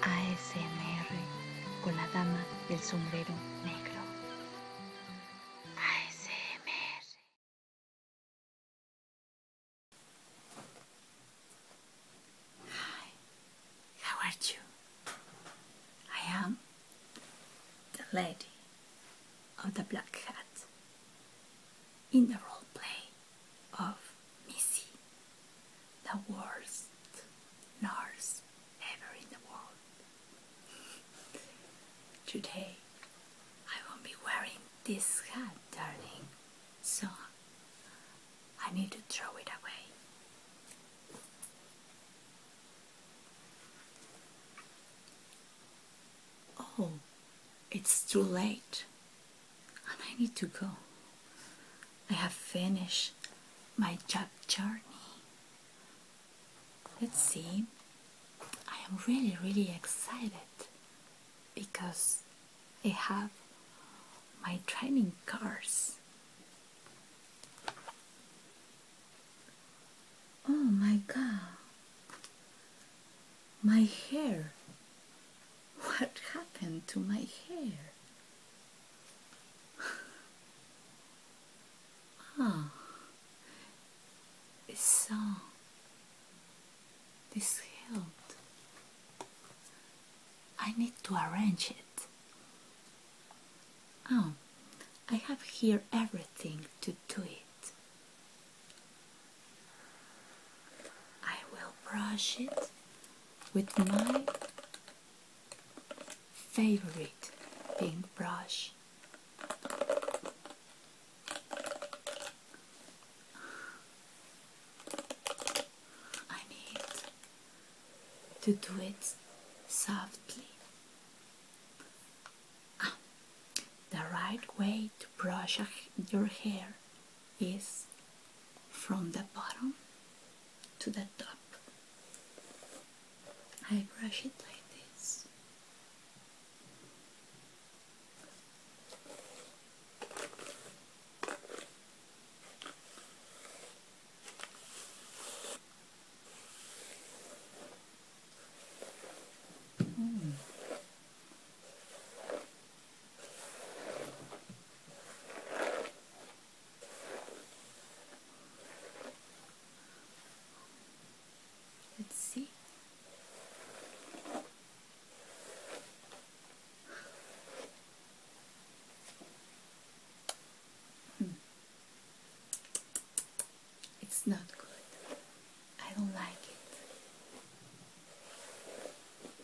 ASMR con la dama del sombrero negro. ASMR. Hi, how are you? I am the lady of the black hat in the role play. of Missy, the worst nurse ever in the world. Today I won't be wearing this hat, darling, so I need to throw it away. Oh, it's too late and I need to go. I have finished my job journey. Let's see. I am really, really excited because I have my training cars. Oh my god. My hair. What happened to my hair? Oh, so this helped. I need to arrange it. Oh, I have here everything to do it. I will brush it with my favorite pink brush. I need to do it softly. Ah, the right way to brush your hair is from the bottom to the top. I brush it like this. Mm. Let's see. Hmm. It's not good. I don't like it.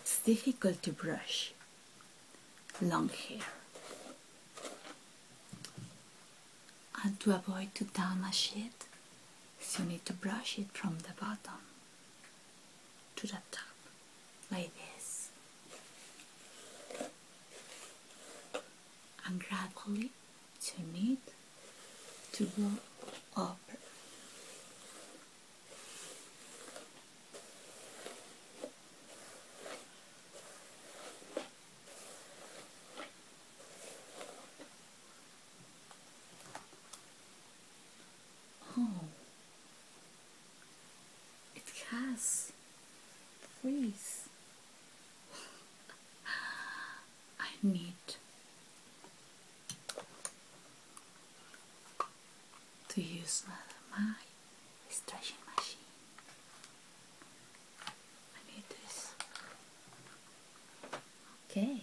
it's difficult to brush long hair and to avoid to damage it so you need to brush it from the bottom to the top like this and gradually you need to go up Oh, it has. Please. I need to use my stretching machine. I need this. Okay.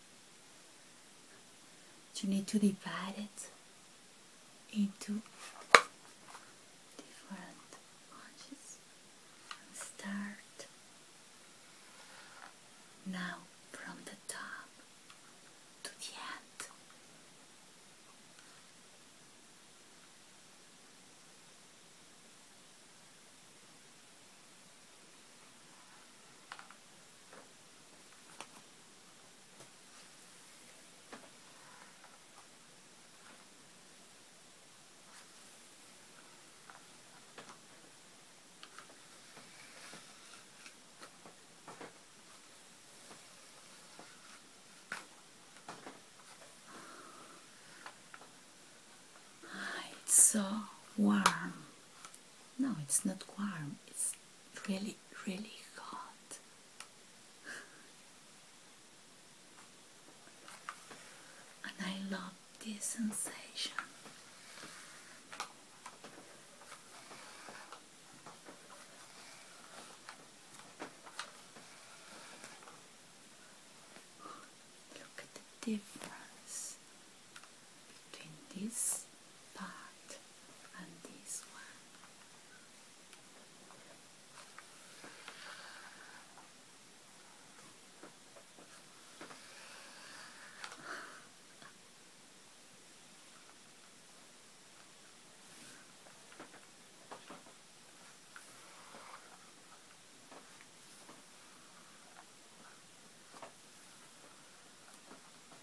you need to divide it into different bunches and start now from the top to the end. Ah, it's so warm no, it's not warm, it's really, really hot. and I love this sensation. Look at the difference between this part and this one.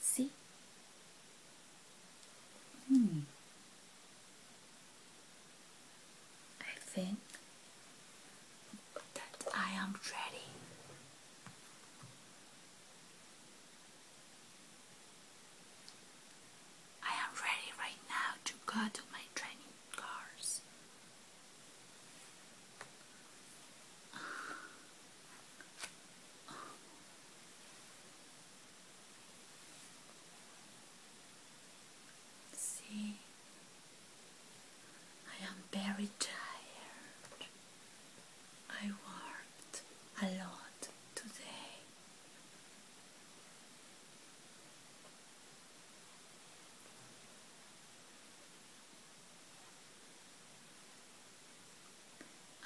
See? Hmm. I think that I am ready. I am ready right now to go to my training cars. See, I am very tired. I worked a lot today.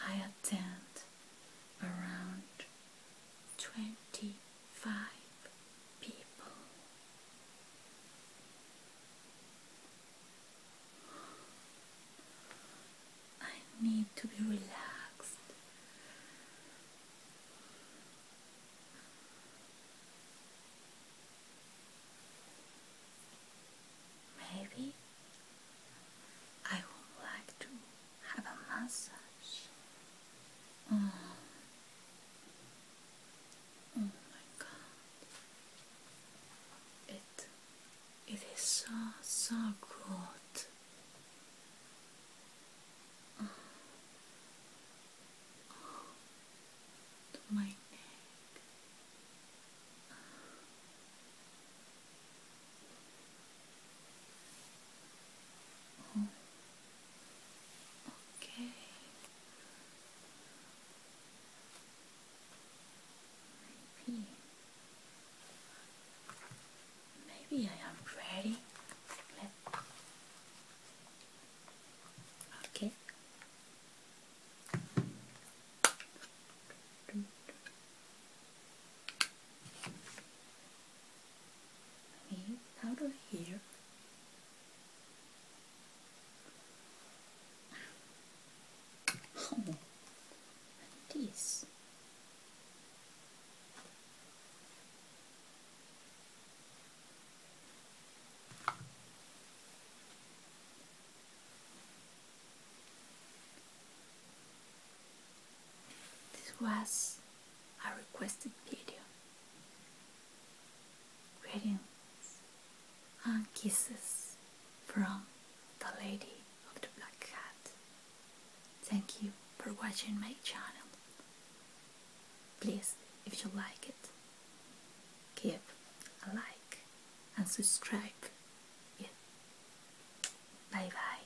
I attend around twenty five people. I need to be relaxed. Maybe I would like to have a massage. Mm. Oh my god. It it is so, so good. Oh. My neck. Oh. Okay. Maybe. Maybe I am ready. okay. Let me out of Oh, and this. was a requested video. Greetings and kisses from the lady of the Black Cat. Thank you for watching my channel. Please, if you like it, give a like and subscribe. Bye bye.